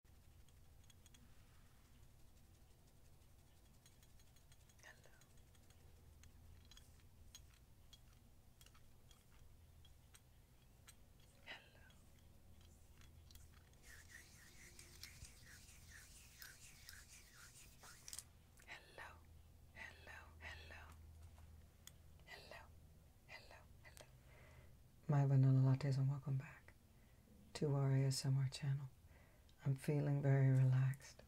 Hello. Hello. Hello. Hello. Hello. Hello. Hello. Hello. My vanilla lattes and welcome back to our ASMR channel. I'm feeling very relaxed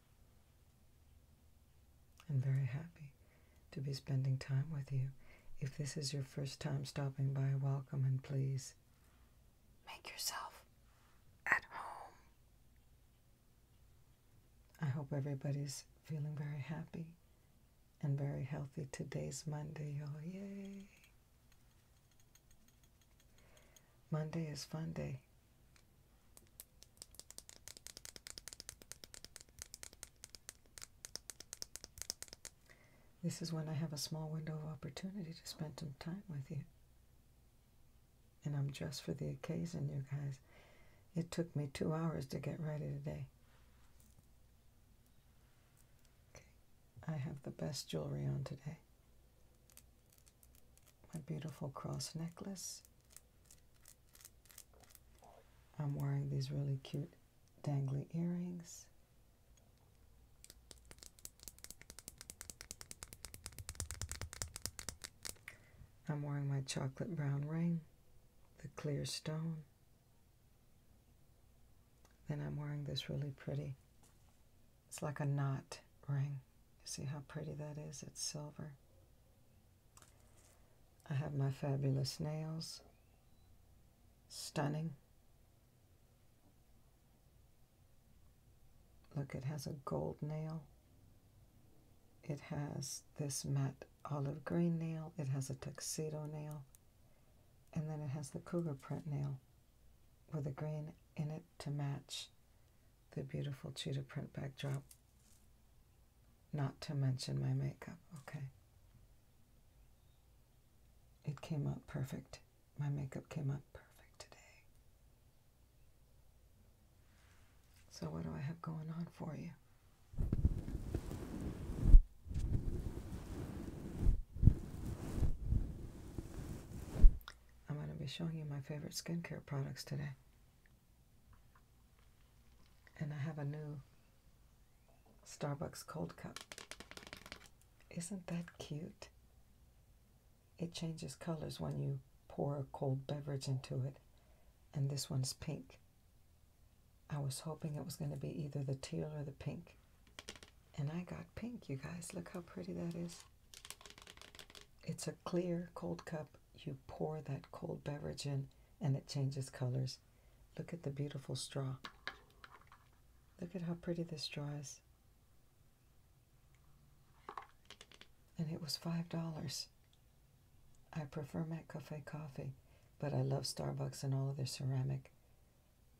and very happy to be spending time with you. If this is your first time stopping by, welcome and please make yourself at home. I hope everybody's feeling very happy and very healthy. Today's Monday, oh Yay! Monday is fun day. This is when I have a small window of opportunity to spend some time with you. And I'm dressed for the occasion, you guys. It took me two hours to get ready today. Okay. I have the best jewelry on today. My beautiful cross necklace. I'm wearing these really cute dangly earrings. I'm wearing my chocolate brown ring, the clear stone. Then I'm wearing this really pretty. It's like a knot ring. See how pretty that is? It's silver. I have my fabulous nails. Stunning. Look, it has a gold nail. It has this matte olive green nail. It has a tuxedo nail. And then it has the cougar print nail with a green in it to match the beautiful cheetah print backdrop. Not to mention my makeup, okay. It came out perfect. My makeup came out perfect today. So, what do I have going on for you? I'm going to be showing you my favorite skincare products today. And I have a new Starbucks cold cup. Isn't that cute? It changes colors when you pour a cold beverage into it. And this one's pink. I was hoping it was going to be either the teal or the pink. And I got pink, you guys. Look how pretty that is. It's a clear cold cup. You pour that cold beverage in and it changes colors. Look at the beautiful straw. Look at how pretty this straw is. And it was $5. I prefer McCafe coffee, but I love Starbucks and all of their ceramic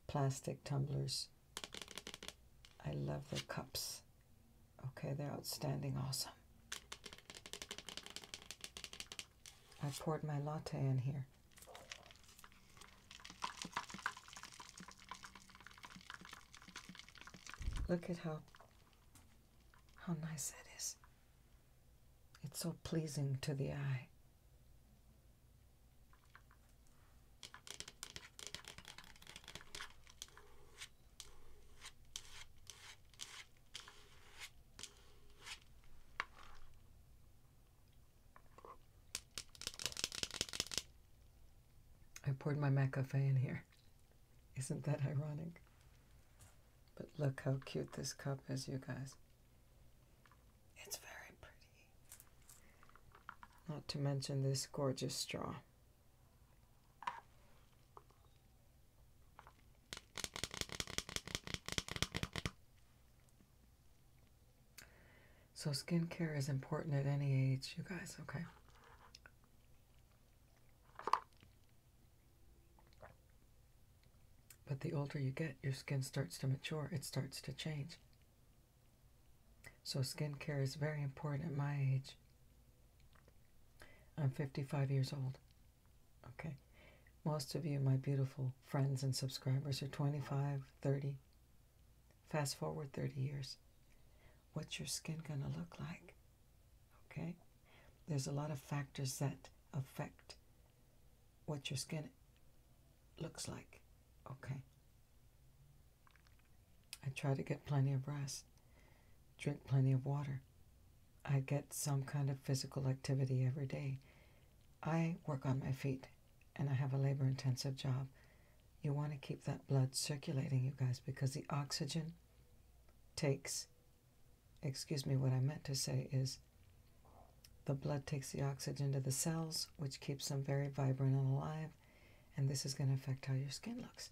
plastic tumblers. I love their cups. Okay, they're outstanding awesome. I poured my latte in here. Look at how how nice that is. It's so pleasing to the eye. I poured my McCafe in here. Isn't that ironic? But look how cute this cup is, you guys. It's very pretty. Not to mention this gorgeous straw. So skincare is important at any age, you guys, okay. But the older you get, your skin starts to mature, it starts to change. So, skincare is very important at my age. I'm 55 years old. Okay. Most of you, my beautiful friends and subscribers, are 25, 30. Fast forward 30 years. What's your skin going to look like? Okay. There's a lot of factors that affect what your skin looks like. Okay. I try to get plenty of rest, drink plenty of water. I get some kind of physical activity every day. I work on my feet and I have a labor intensive job. You want to keep that blood circulating, you guys, because the oxygen takes, excuse me, what I meant to say is the blood takes the oxygen to the cells, which keeps them very vibrant and alive and this is going to affect how your skin looks.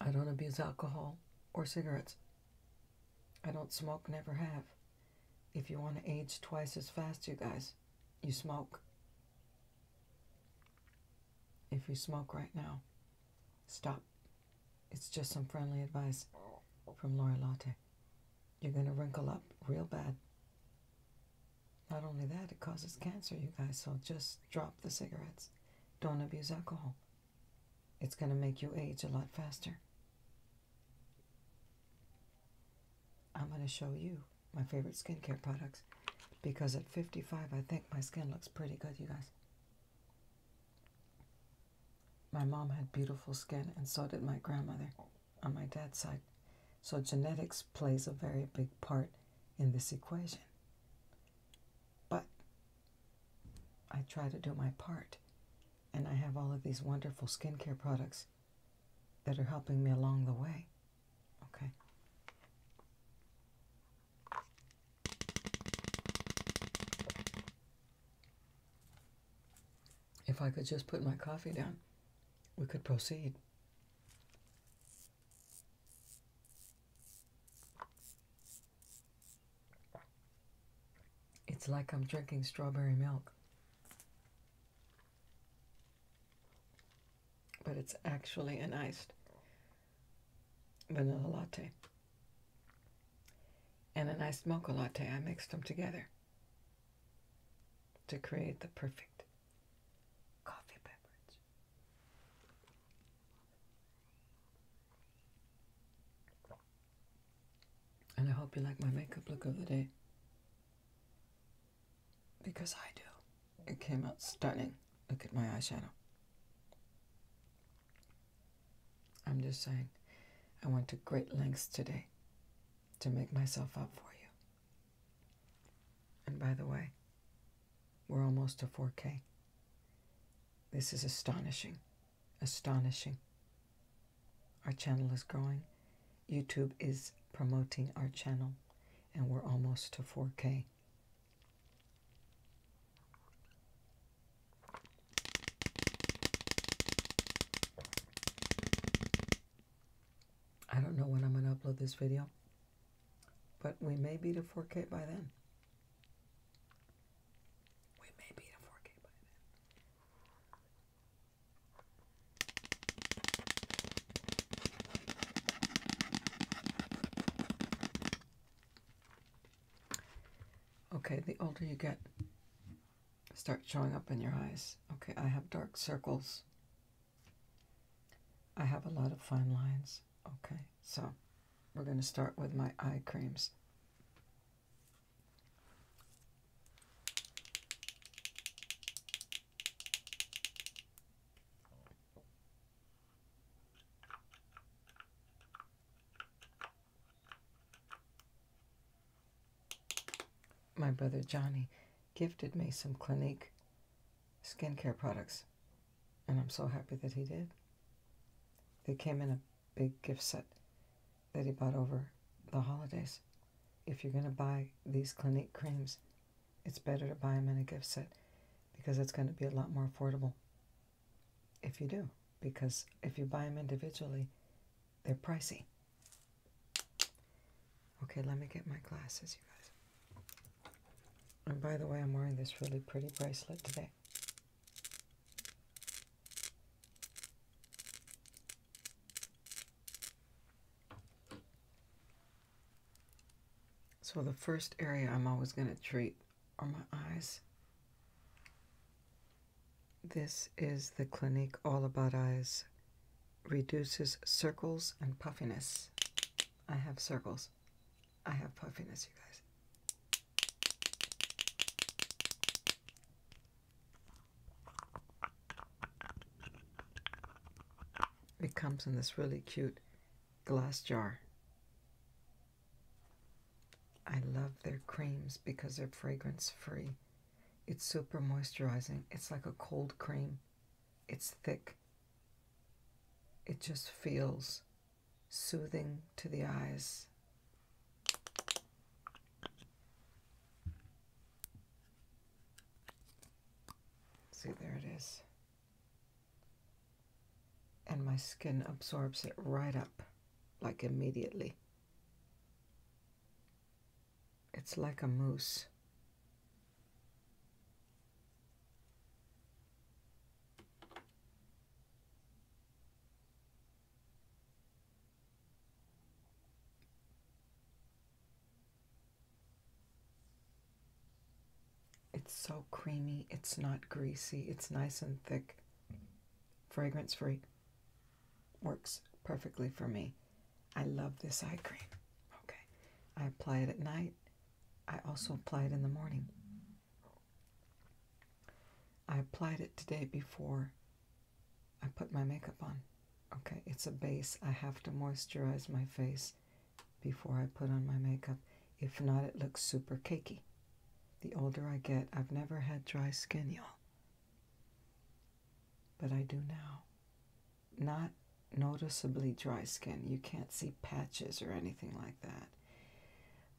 I don't abuse alcohol or cigarettes. I don't smoke, never have. If you want to age twice as fast, you guys, you smoke. If you smoke right now, stop. It's just some friendly advice from Laura Latte. You're going to wrinkle up real bad. Not only that, it causes cancer, you guys, so just drop the cigarettes. Don't abuse alcohol. It's going to make you age a lot faster. I'm going to show you my favorite skincare products because at 55, I think my skin looks pretty good, you guys. My mom had beautiful skin, and so did my grandmother on my dad's side. So genetics plays a very big part in this equation. But I try to do my part, and I have all of these wonderful skincare products that are helping me along the way. Okay. If I could just put my coffee down, we could proceed. It's like I'm drinking strawberry milk. But it's actually an iced vanilla latte and a nice mocha latte. I mixed them together to create the perfect coffee beverage. And I hope you like my makeup look of the day because I do. It came out stunning. Look at my eyeshadow. I'm just saying, I went to great lengths today to make myself up for you. And by the way, we're almost to 4K. This is astonishing. Astonishing. Our channel is growing. YouTube is promoting our channel, and we're almost to 4K. I don't know when I'm going to upload this video, but we may be to 4K by then. We may be to 4K by then. Okay, the older you get, start showing up in your eyes. Okay, I have dark circles. I have a lot of fine lines. Okay, so we're going to start with my eye creams. My brother Johnny gifted me some Clinique skincare products, and I'm so happy that he did. They came in a big gift set that he bought over the holidays. If you're going to buy these Clinique creams, it's better to buy them in a gift set because it's going to be a lot more affordable if you do. Because if you buy them individually, they're pricey. Okay, let me get my glasses, you guys. And by the way, I'm wearing this really pretty bracelet today. So the first area I'm always going to treat are my eyes. This is the Clinique All About Eyes. Reduces circles and puffiness. I have circles. I have puffiness, you guys. It comes in this really cute glass jar. I love their creams because they're fragrance free. It's super moisturizing. It's like a cold cream. It's thick. It just feels soothing to the eyes. See, there it is. And my skin absorbs it right up, like immediately. It's like a moose. It's so creamy. It's not greasy. It's nice and thick. Fragrance free. Works perfectly for me. I love this eye cream. Okay. I apply it at night. I also apply it in the morning. I applied it today before I put my makeup on. Okay, it's a base. I have to moisturize my face before I put on my makeup. If not, it looks super cakey. The older I get, I've never had dry skin, y'all. But I do now. Not noticeably dry skin. You can't see patches or anything like that.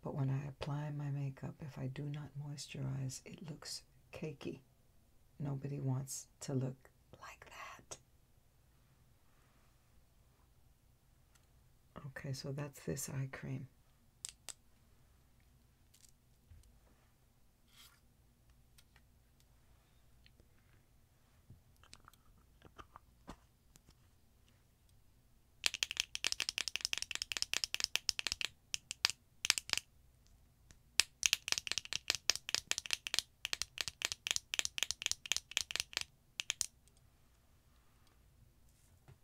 But when I apply my makeup, if I do not moisturize, it looks cakey. Nobody wants to look like that. Okay, so that's this eye cream.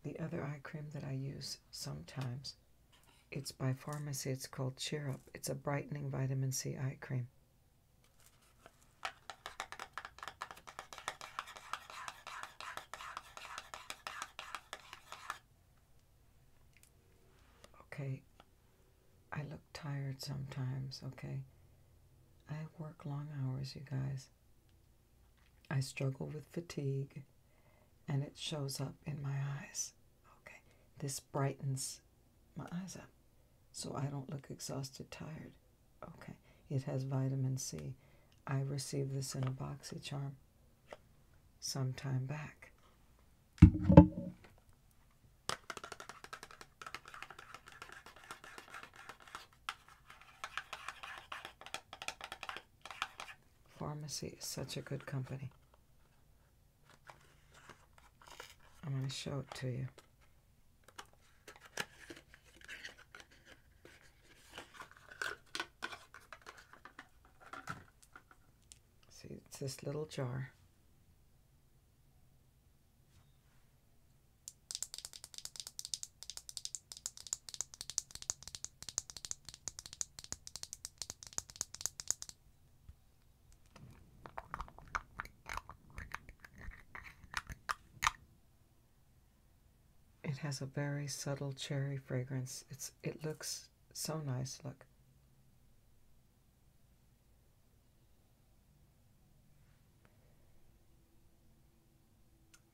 The other eye cream that I use sometimes it's by pharmacy. It's called Cheer Up. It's a brightening vitamin C eye cream. Okay, I look tired sometimes, okay? I work long hours, you guys. I struggle with fatigue, and it shows up in my eyes. Okay, this brightens my eyes up so I don't look exhausted, tired. Okay, it has vitamin C. I received this in a BoxyCharm some time back. Pharmacy is such a good company. I'm going to show it to you. See, it's this little jar. It has a very subtle cherry fragrance. It's it looks so nice. Look.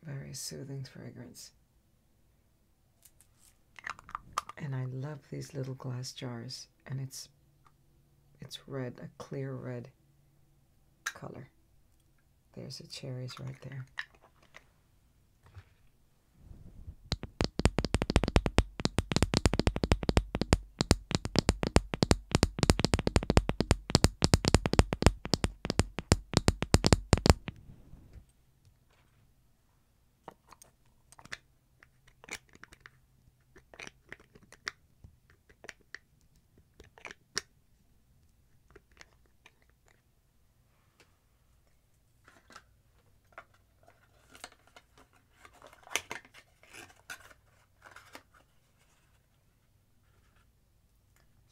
Very soothing fragrance. And I love these little glass jars and it's it's red, a clear red color. There's the cherries right there.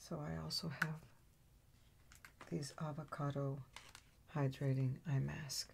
So I also have these avocado hydrating eye mask.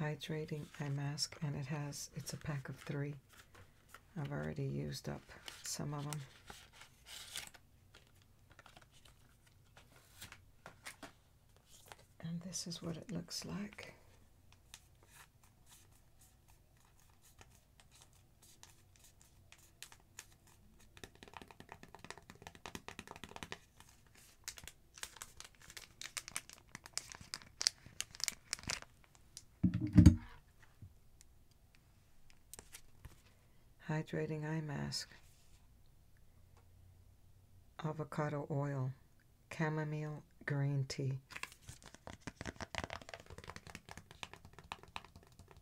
hydrating eye mask and it has it's a pack of three I've already used up some of them and this is what it looks like Hydrating eye mask, avocado oil, chamomile green tea.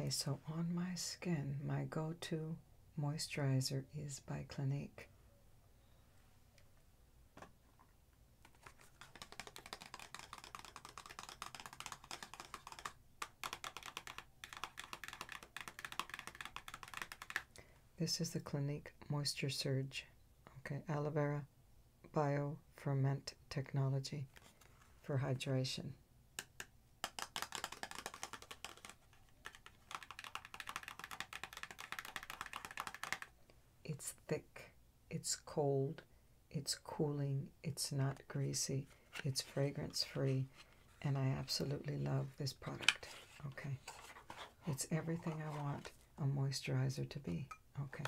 Okay, so on my skin, my go to moisturizer is by Clinique. This is the Clinique Moisture Surge. Okay, aloe vera bio ferment technology for hydration. It's thick, it's cold, it's cooling, it's not greasy, it's fragrance free, and I absolutely love this product. Okay, it's everything I want a moisturizer to be. Okay,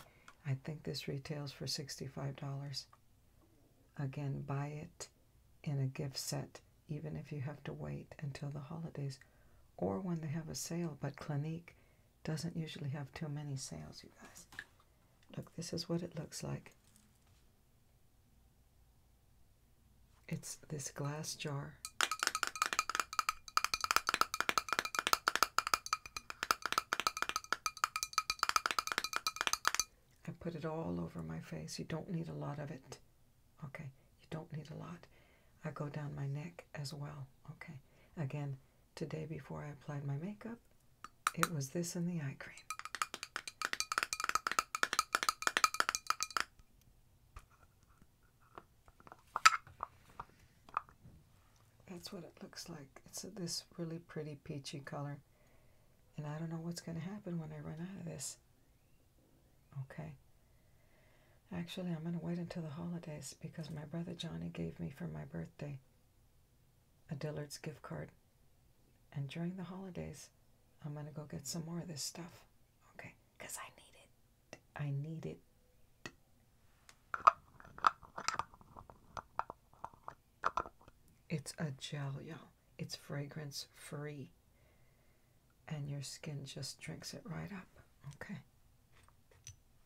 I think this retails for $65. Again, buy it in a gift set, even if you have to wait until the holidays or when they have a sale. But Clinique doesn't usually have too many sales, you guys. Look, this is what it looks like. It's this glass jar. I put it all over my face. You don't need a lot of it. Okay, you don't need a lot. I go down my neck as well. Okay, again, Today, before I applied my makeup, it was this in the eye cream. That's what it looks like. It's this really pretty peachy color. And I don't know what's going to happen when I run out of this. Okay. Actually, I'm going to wait until the holidays because my brother Johnny gave me for my birthday a Dillard's gift card. And during the holidays, I'm going to go get some more of this stuff. Okay? Because I need it. I need it. It's a gel, y'all. It's fragrance free. And your skin just drinks it right up. Okay.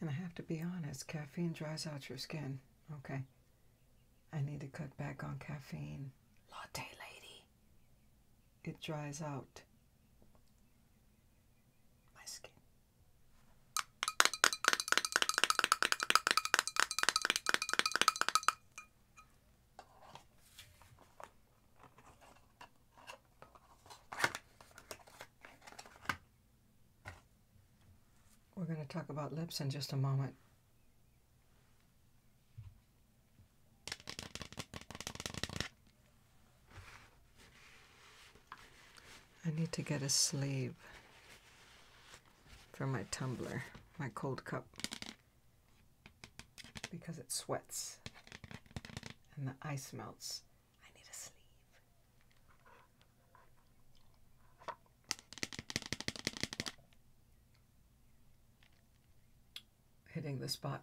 And I have to be honest, caffeine dries out your skin. Okay. I need to cut back on caffeine. Latte lady. It dries out my skin. We're going to talk about lips in just a moment. I need to get a sleeve for my tumbler, my cold cup because it sweats and the ice melts. I need a sleeve. Hitting the spot.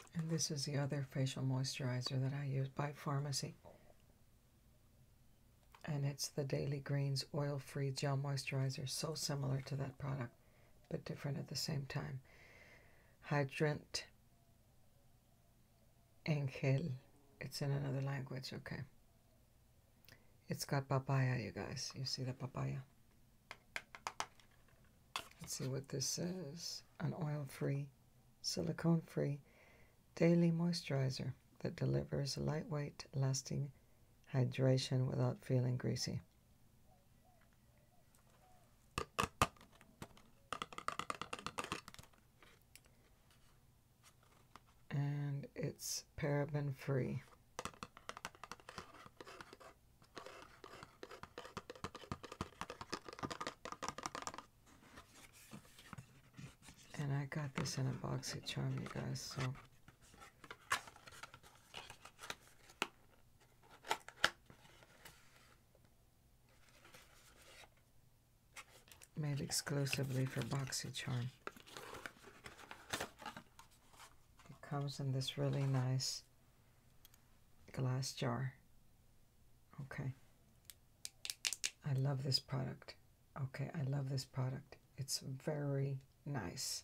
And this is the other facial moisturizer that I use by Pharmacy. And it's the Daily Greens Oil Free Gel Moisturizer. So similar to that product, but different at the same time. Hydrant Angel. It's in another language, okay. It's got papaya, you guys. You see the papaya? Let's see what this says. An oil-free silicone free daily moisturizer that delivers lightweight, lasting hydration without feeling greasy. And it's paraben free. And I got this in a boxy Charm, you guys, so. Made exclusively for boxy charm. It comes in this really nice glass jar. Okay. I love this product. Okay, I love this product. It's very nice.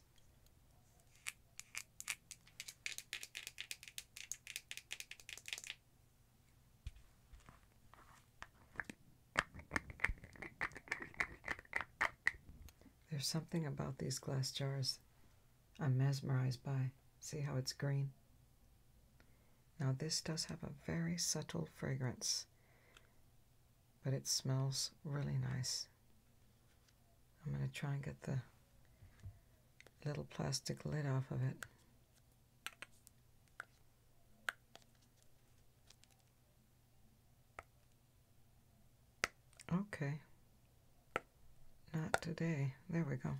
There's something about these glass jars I'm mesmerized by. See how it's green? Now, this does have a very subtle fragrance, but it smells really nice. I'm going to try and get the little plastic lid off of it. Okay. Not today. There we go.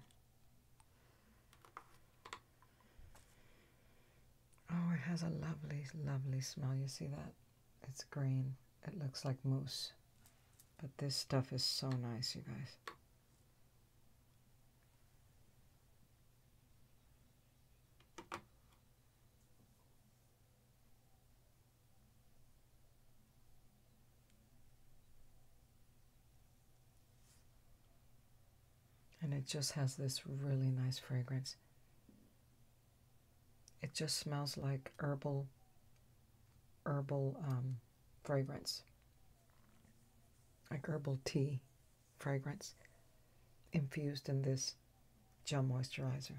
Oh, it has a lovely, lovely smell. You see that? It's green. It looks like mousse. But this stuff is so nice, you guys and it just has this really nice fragrance. It just smells like herbal, herbal um, fragrance, like herbal tea fragrance infused in this gel moisturizer.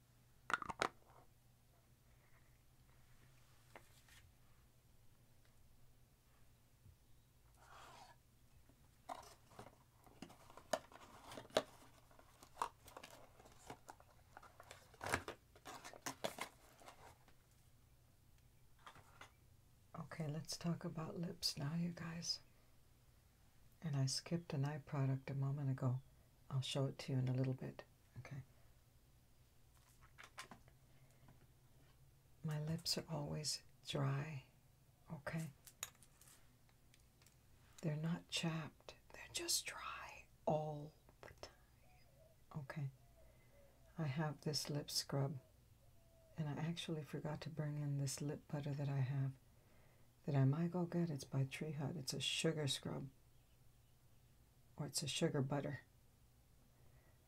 Okay, let's talk about lips now, you guys. And I skipped an eye product a moment ago. I'll show it to you in a little bit. Okay. My lips are always dry. Okay. They're not chapped. They're just dry all the time. Okay. I have this lip scrub. And I actually forgot to bring in this lip butter that I have that I might go get. It's by Tree Hut. It's a sugar scrub or it's a sugar butter.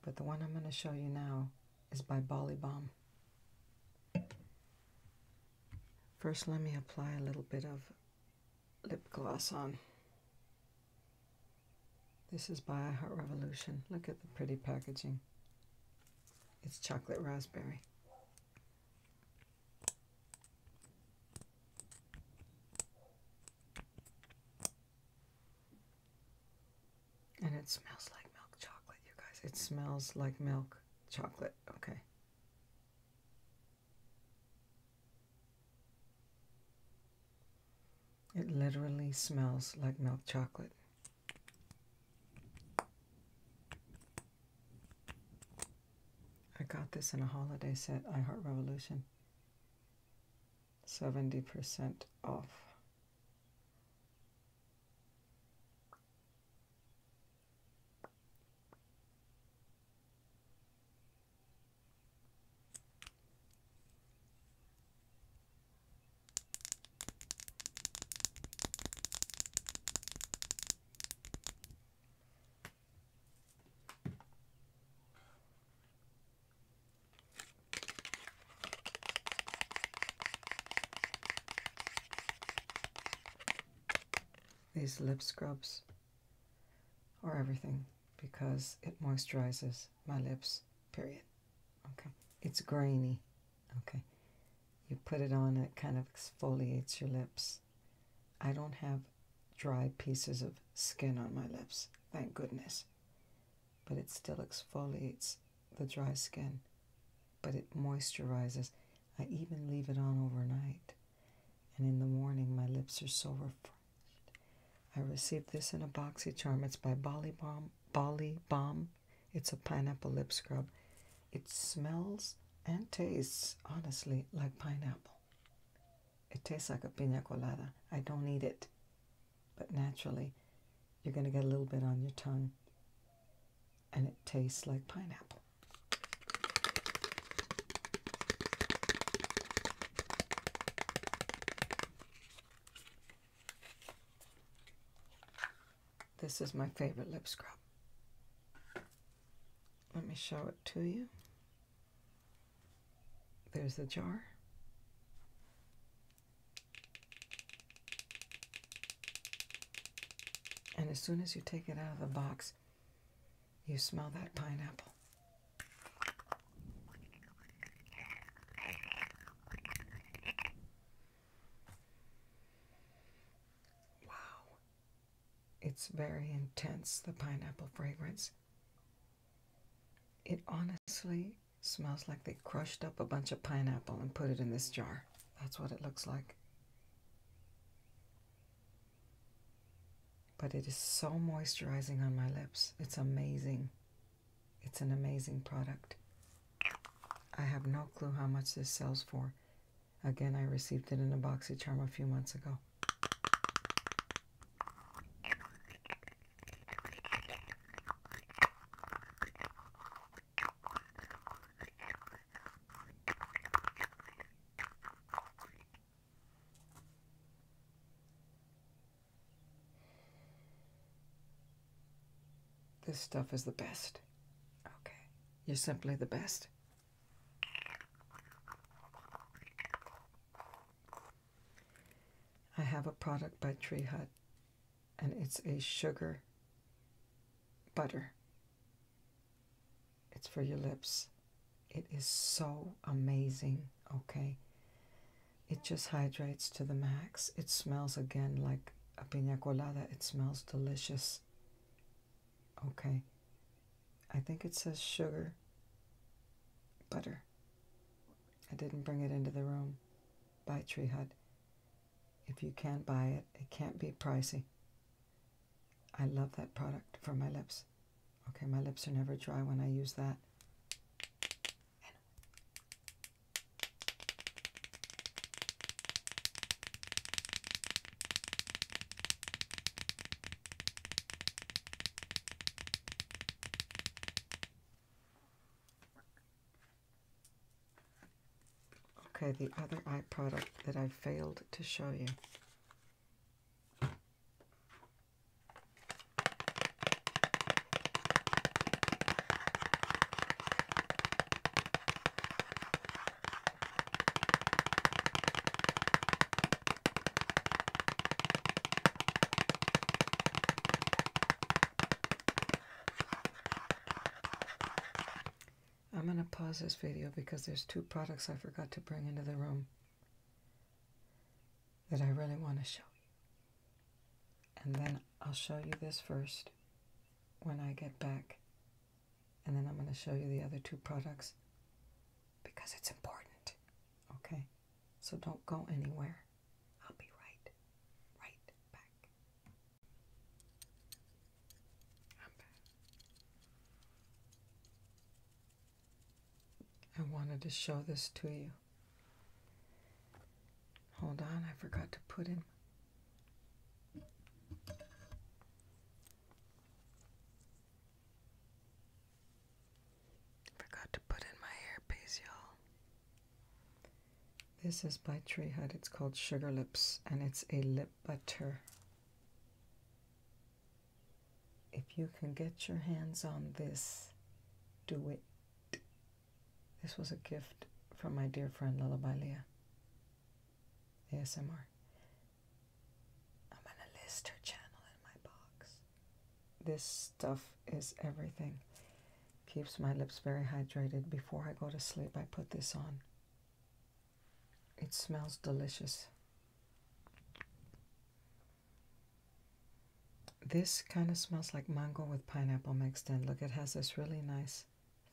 But the one I'm going to show you now is by Bolly Balm. First, let me apply a little bit of lip gloss on. This is by Heart Revolution. Look at the pretty packaging. It's chocolate raspberry. And it smells like milk chocolate, you guys. It smells like milk chocolate. Okay. It literally smells like milk chocolate. I got this in a holiday set, I Heart Revolution. 70% off. These lip scrubs are everything because it moisturizes my lips, period. Okay. It's grainy. Okay. You put it on, it kind of exfoliates your lips. I don't have dry pieces of skin on my lips, thank goodness. But it still exfoliates the dry skin, but it moisturizes. I even leave it on overnight. And in the morning, my lips are so refreshed. I received this in a boxy charm. It's by Bali Bomb. Bali Bomb. It's a pineapple lip scrub. It smells and tastes, honestly, like pineapple. It tastes like a pina colada. I don't eat it. But naturally, you're going to get a little bit on your tongue. And it tastes like pineapple. This is my favorite lip scrub. Let me show it to you. There's the jar. And as soon as you take it out of the box, you smell that pineapple. Wow. It's very intense, the pineapple fragrance. It honestly smells like they crushed up a bunch of pineapple and put it in this jar. That's what it looks like. But it is so moisturizing on my lips. It's amazing. It's an amazing product. I have no clue how much this sells for. Again, I received it in a boxy charm a few months ago. This stuff is the best. Okay. You're simply the best. I have a product by Tree Hut, and it's a sugar butter. It's for your lips. It is so amazing, okay? It just hydrates to the max. It smells again like a pina colada. It smells delicious, okay? I think it says sugar, butter. I didn't bring it into the room. Buy Tree Hut. If you can't buy it, it can't be pricey. I love that product for my lips. Okay, my lips are never dry when I use that. Okay, the other eye product that I failed to show you. I'm going to pause this video because there's two products I forgot to bring into the room that I really want to show you. And then I'll show you this first when I get back. And then I'm going to show you the other two products because it's important. Okay? So don't go anywhere. I'll be right, right back. I'm back. I wanted to show this to you. Hold on, I forgot to put in. Forgot to put in my hairpiece, y'all. This is by Tree Hut. It's called Sugar Lips and it's a lip butter. If you can get your hands on this, do it. This was a gift from my dear friend Lullaby Leah. ASMR. I'm going to list her channel in my box. This stuff is everything. Keeps my lips very hydrated. Before I go to sleep, I put this on. It smells delicious. This kind of smells like mango with pineapple mixed in. Look, it has this really nice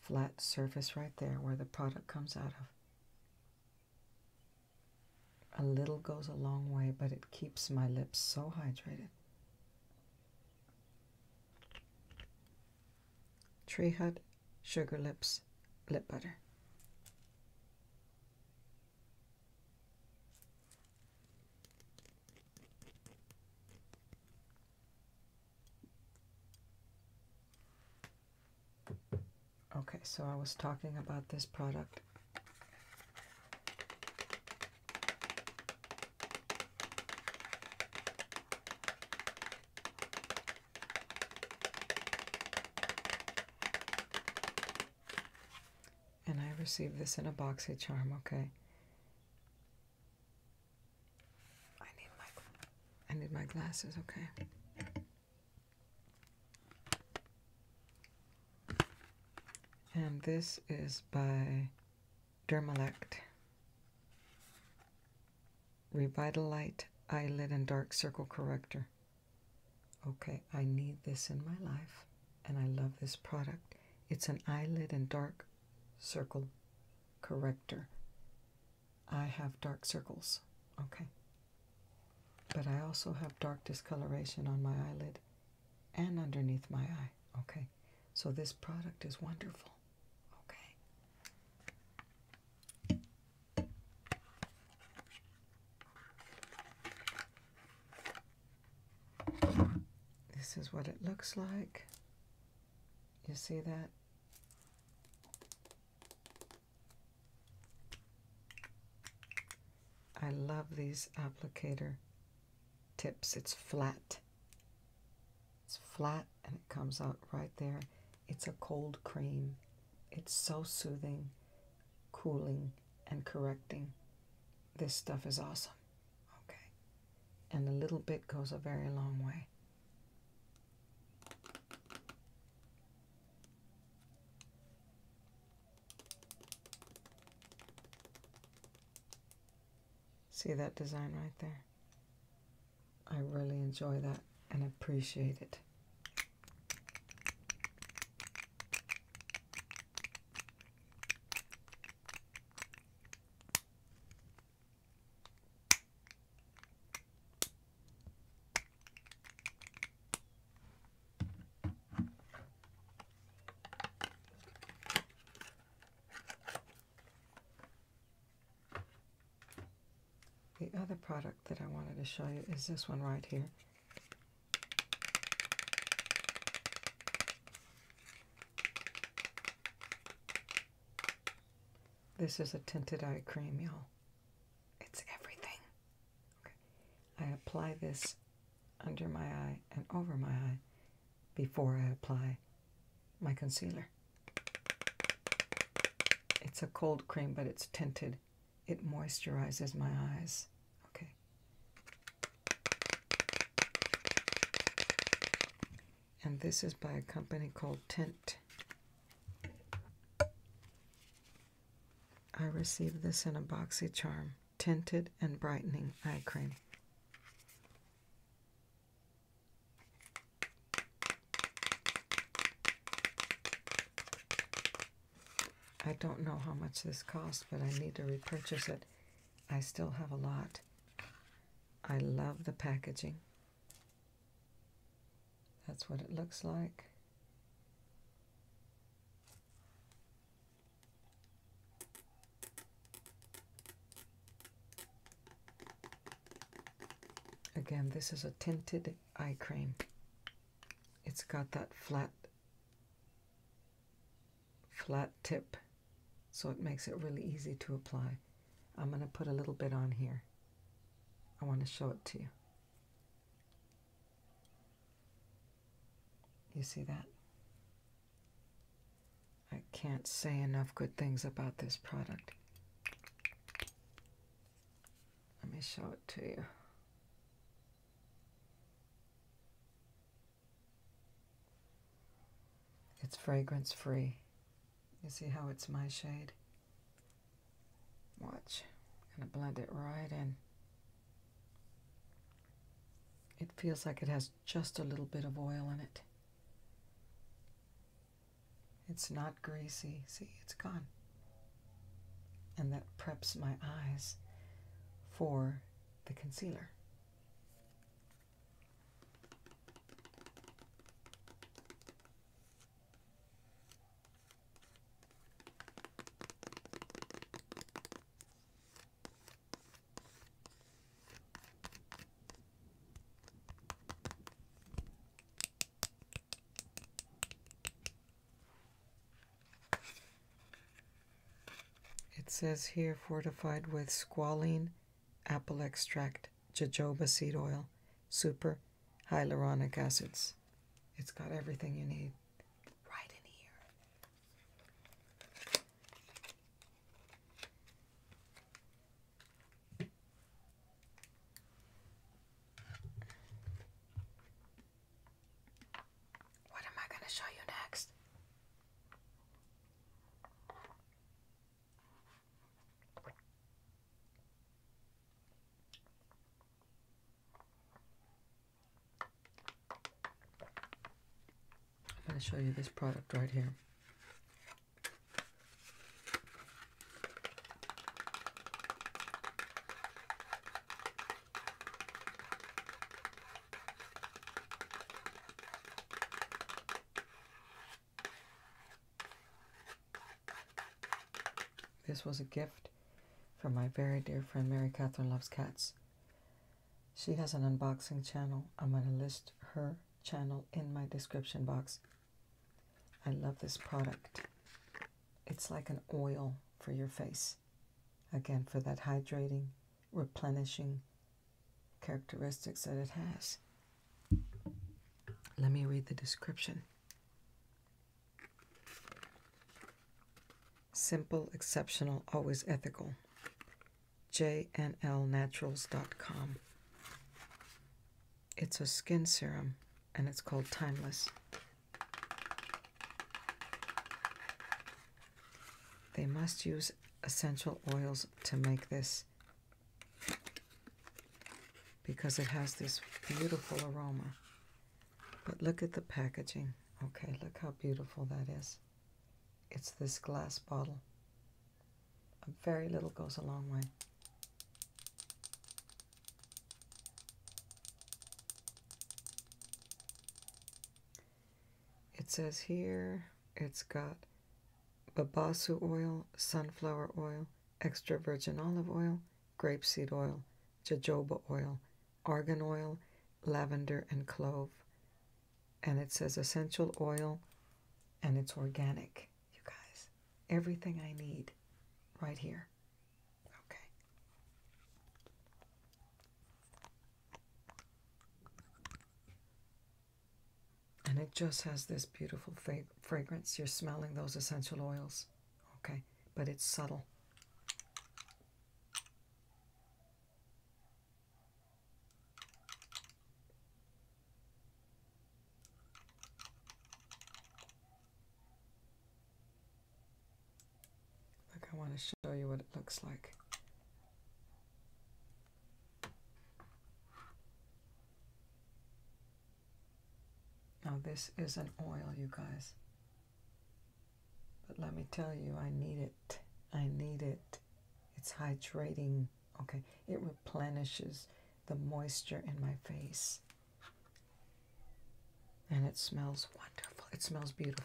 flat surface right there where the product comes out of. A little goes a long way, but it keeps my lips so hydrated. Tree Hut Sugar Lips Lip Butter. Okay, so I was talking about this product and I received this in a boxy charm, okay? I need my I need my glasses, okay? And this is by Dermalect. Revitalite Eyelid and Dark Circle Corrector. Okay, I need this in my life, and I love this product. It's an eyelid and dark circle corrector. I have dark circles, okay? But I also have dark discoloration on my eyelid and underneath my eye. Okay, so this product is wonderful. Okay. This is what it looks like. You see that? I love these applicator tips. It's flat. It's flat and it comes out right there. It's a cold cream. It's so soothing, cooling, and correcting. This stuff is awesome. Okay. And a little bit goes a very long way. See that design right there? I really enjoy that and appreciate it. The other product that I wanted to show you is this one right here. This is a tinted eye cream, y'all. It's everything. I apply this under my eye and over my eye before I apply my concealer. It's a cold cream, but it's tinted. It moisturizes my eyes. Okay. And this is by a company called Tint. I received this in a boxy charm tinted and brightening eye cream. I don't know how much this costs, but I need to repurchase it. I still have a lot. I love the packaging. That's what it looks like. Again, this is a tinted eye cream. It's got that flat flat tip so it makes it really easy to apply. I'm going to put a little bit on here. I want to show it to you. You see that? I can't say enough good things about this product. Let me show it to you. It's fragrance free. You see how it's my shade? Watch. I'm going to blend it right in. It feels like it has just a little bit of oil in it. It's not greasy. See, it's gone. And that preps my eyes for the concealer. It says here fortified with squalene, apple extract, jojoba seed oil, super hyaluronic acids. It's got everything you need right in here. What am I going to show you next? I'm going to show you this product right here. This was a gift from my very dear friend Mary Catherine Loves Cats. She has an unboxing channel. I'm going to list her channel in my description box. I love this product. It's like an oil for your face. Again, for that hydrating, replenishing characteristics that it has. Let me read the description. Simple, exceptional, always ethical. JNLnaturals.com. It's a skin serum and it's called Timeless. They must use essential oils to make this because it has this beautiful aroma. But look at the packaging. Okay, look how beautiful that is. It's this glass bottle. A very little goes a long way. It says here it's got babassu oil, sunflower oil, extra virgin olive oil, grapeseed oil, jojoba oil, argan oil, lavender, and clove and it says essential oil and it's organic. You guys, everything I need right here. Okay. And it just has this beautiful fragrance. You're smelling those essential oils. Okay. But it's subtle. Look, I want to show you what it looks like. Now this is an oil, you guys. But let me tell you, I need it. I need it. It's hydrating. Okay, it replenishes the moisture in my face. And it smells wonderful. It smells beautiful.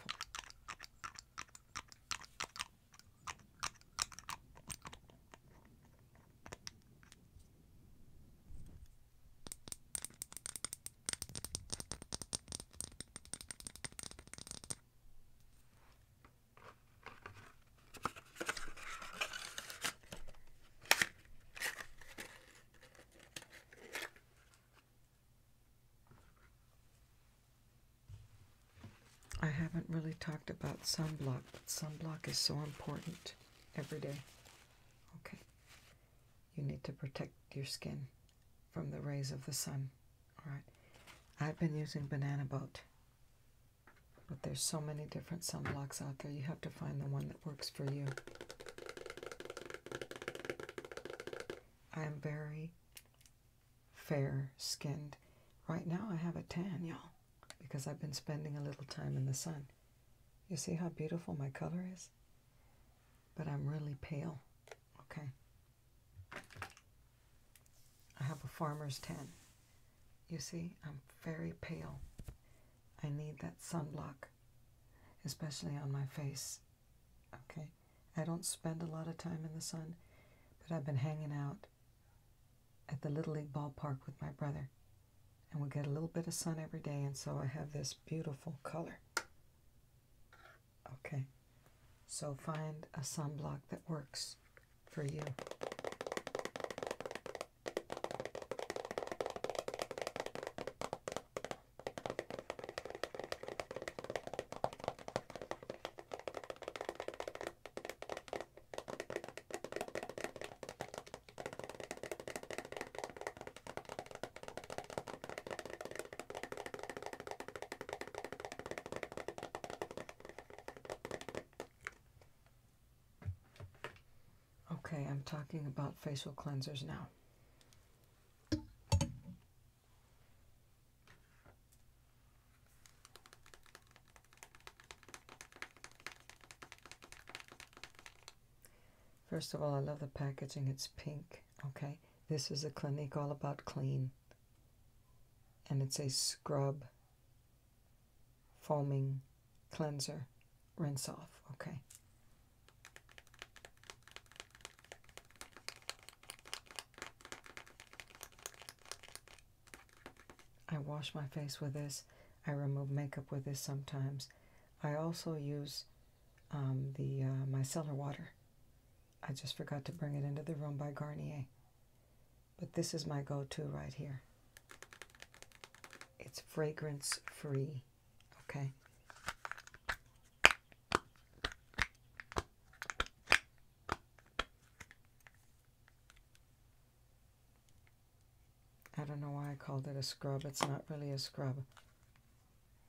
I haven't really talked about sunblock, but sunblock is so important every day. Okay. You need to protect your skin from the rays of the sun. All right. I've been using Banana Boat. But there's so many different sunblocks out there. You have to find the one that works for you. I am very fair skinned. Right now I have a tan, y'all, because I've been spending a little time in the sun. You see how beautiful my color is? But I'm really pale, okay? I have a farmer's tan. You see, I'm very pale. I need that sunblock, especially on my face. Okay? I don't spend a lot of time in the sun, but I've been hanging out at the Little League ballpark with my brother. And we get a little bit of sun every day, and so I have this beautiful color. Okay, so find a sunblock that works for you. Okay, I'm talking about facial cleansers now. First of all, I love the packaging. It's pink. Okay, this is a Clinique all about clean and it's a scrub foaming cleanser rinse off okay I wash my face with this I remove makeup with this sometimes I also use um, the uh, micellar water I just forgot to bring it into the room by Garnier but this is my go-to right here. It's fragrance free, okay? I don't know why I called it a scrub. It's not really a scrub.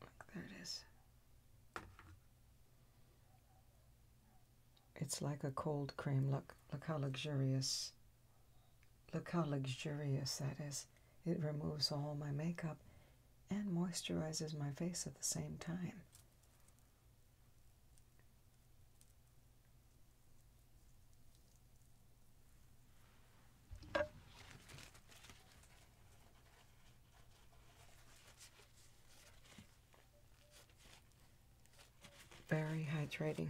Look, there it is. It's like a cold cream. Look, look how luxurious. Look how luxurious that is. It removes all my makeup and moisturizes my face at the same time. Very hydrating.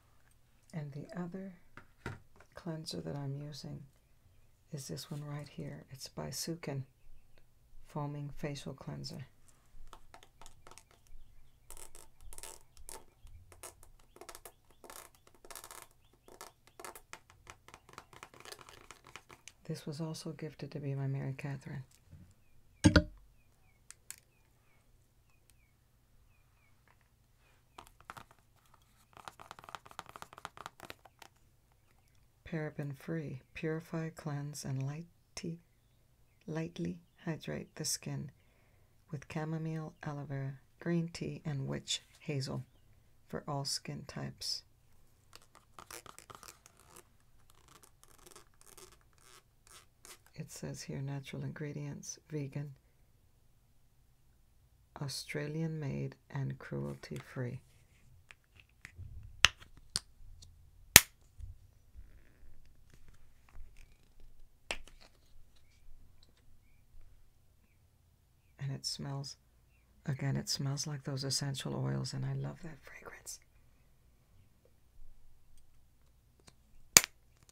And the other cleanser that I'm using is this one right here. It's by Foaming Facial Cleanser. This was also gifted to me by Mary Catherine. Paraben free, purify, cleanse, and lighty, lightly hydrate the skin with chamomile, aloe vera, green tea, and witch hazel for all skin types. It says here natural ingredients, vegan, Australian made, and cruelty free. And it smells, again, it smells like those essential oils, and I love that fragrance.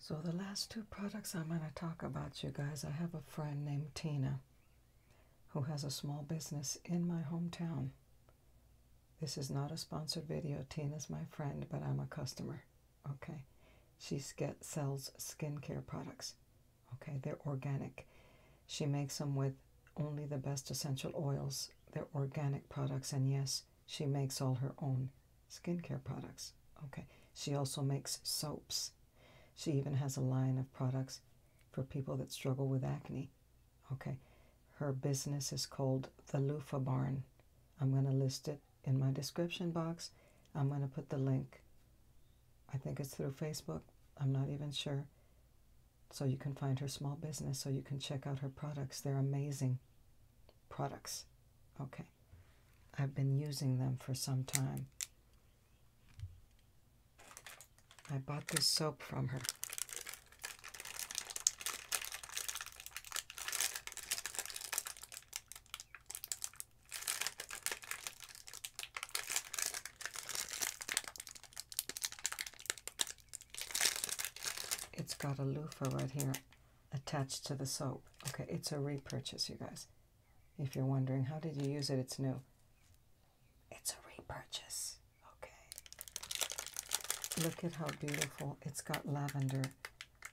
So the last two products I'm going to talk about you guys, I have a friend named Tina who has a small business in my hometown. This is not a sponsored video. Tina's my friend, but I'm a customer. Okay. She sells skincare products. Okay. They're organic. She makes them with only the best essential oils. They're organic products. And yes, she makes all her own skincare products. Okay. She also makes soaps. She even has a line of products for people that struggle with acne. Okay. Her business is called the Loofah Barn. I'm going to list it in my description box, I'm going to put the link. I think it's through Facebook. I'm not even sure. So you can find her small business, so you can check out her products. They're amazing products. Okay. I've been using them for some time. I bought this soap from her. It's got a loofah right here attached to the soap. Okay, it's a repurchase, you guys. If you're wondering, how did you use it? It's new. It's a repurchase. Okay. Look at how beautiful. It's got lavender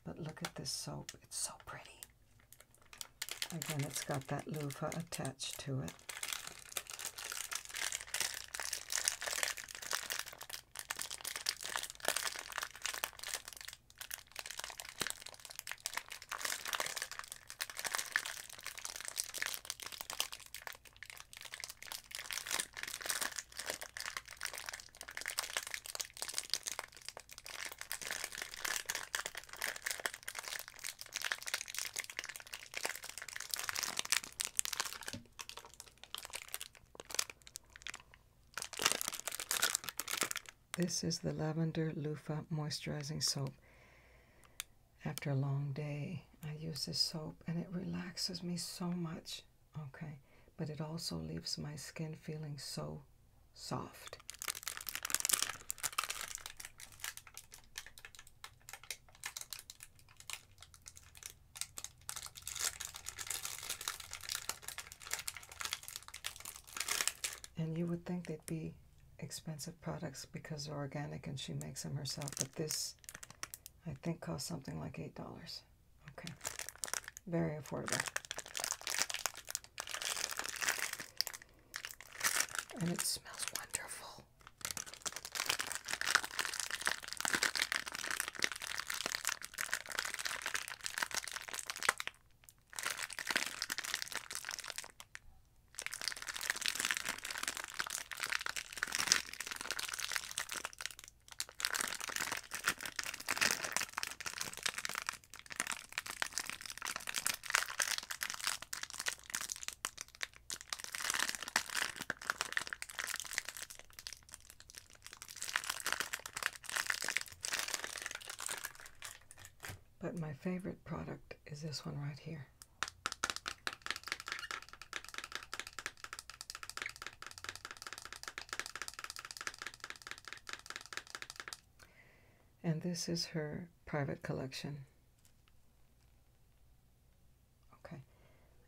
but look at this soap. It's so pretty. Again, it's got that loofah attached to it. This is the Lavender Loofah Moisturizing Soap. After a long day, I use this soap and it relaxes me so much. Okay, but it also leaves my skin feeling so soft. And you would think they'd be expensive products because they're organic and she makes them herself, but this I think cost something like $8. Okay, very affordable. And it smells wonderful. But my favorite product is this one right here. And this is her private collection. Okay,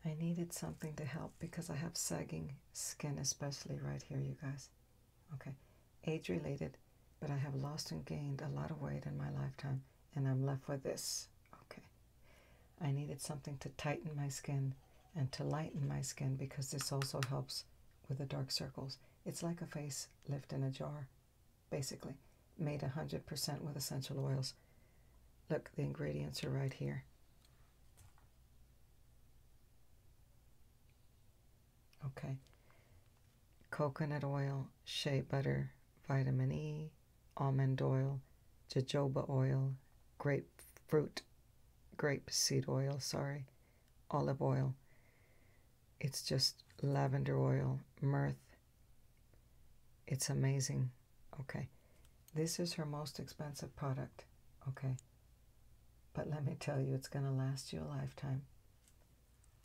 I needed something to help because I have sagging skin, especially right here, you guys. Okay, age related, but I have lost and gained a lot of weight in my lifetime, and I'm left with this. Okay, I needed something to tighten my skin and to lighten my skin because this also helps with the dark circles. It's like a face lift in a jar, basically, made 100% with essential oils. Look, the ingredients are right here. Okay. Coconut oil, shea butter, vitamin E, almond oil, jojoba oil, grapefruit, grape seed oil, sorry, olive oil. It's just lavender oil, mirth. It's amazing. Okay. This is her most expensive product. Okay. But let me tell you, it's going to last you a lifetime.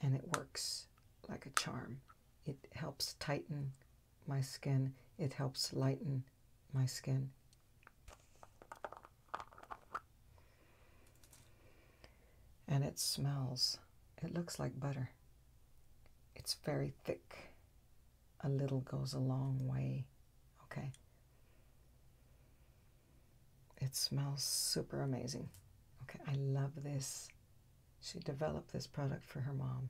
And it works like a charm. It helps tighten my skin. It helps lighten my skin. And it smells, it looks like butter. It's very thick. A little goes a long way, okay? It smells super amazing. Okay, I love this. She developed this product for her mom,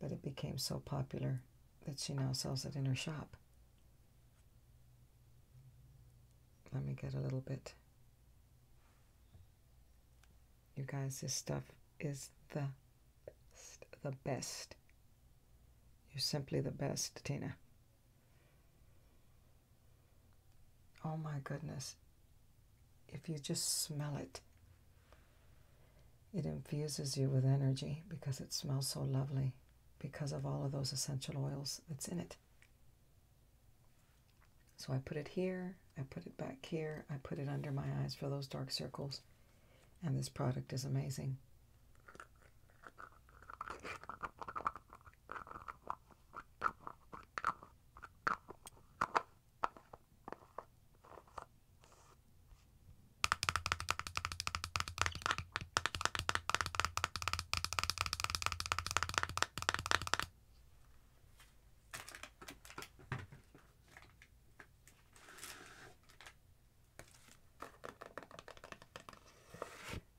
but it became so popular that she now sells it in her shop. Let me get a little bit. You guys, this stuff is the best, the best. You're simply the best, Tina. Oh my goodness. If you just smell it, it infuses you with energy because it smells so lovely because of all of those essential oils that's in it. So I put it here, I put it back here, I put it under my eyes for those dark circles, and this product is amazing.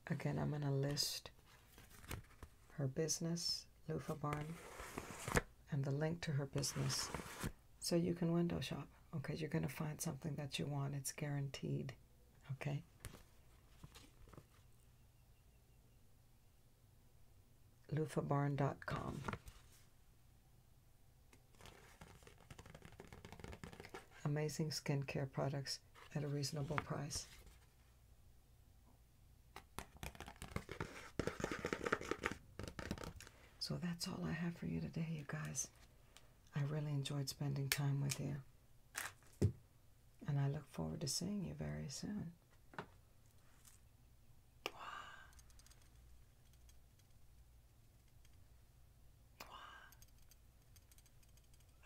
Again, I'm going to list her business, Lufa Barn, and the link to her business so you can window shop. Okay, you're going to find something that you want. It's guaranteed. Okay. LufaBarn.com. Amazing skincare products at a reasonable price. So that's all I have for you today, you guys. I really enjoyed spending time with you. And I look forward to seeing you very soon.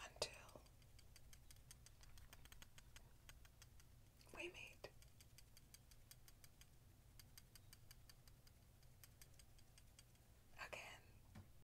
Until we meet. Again.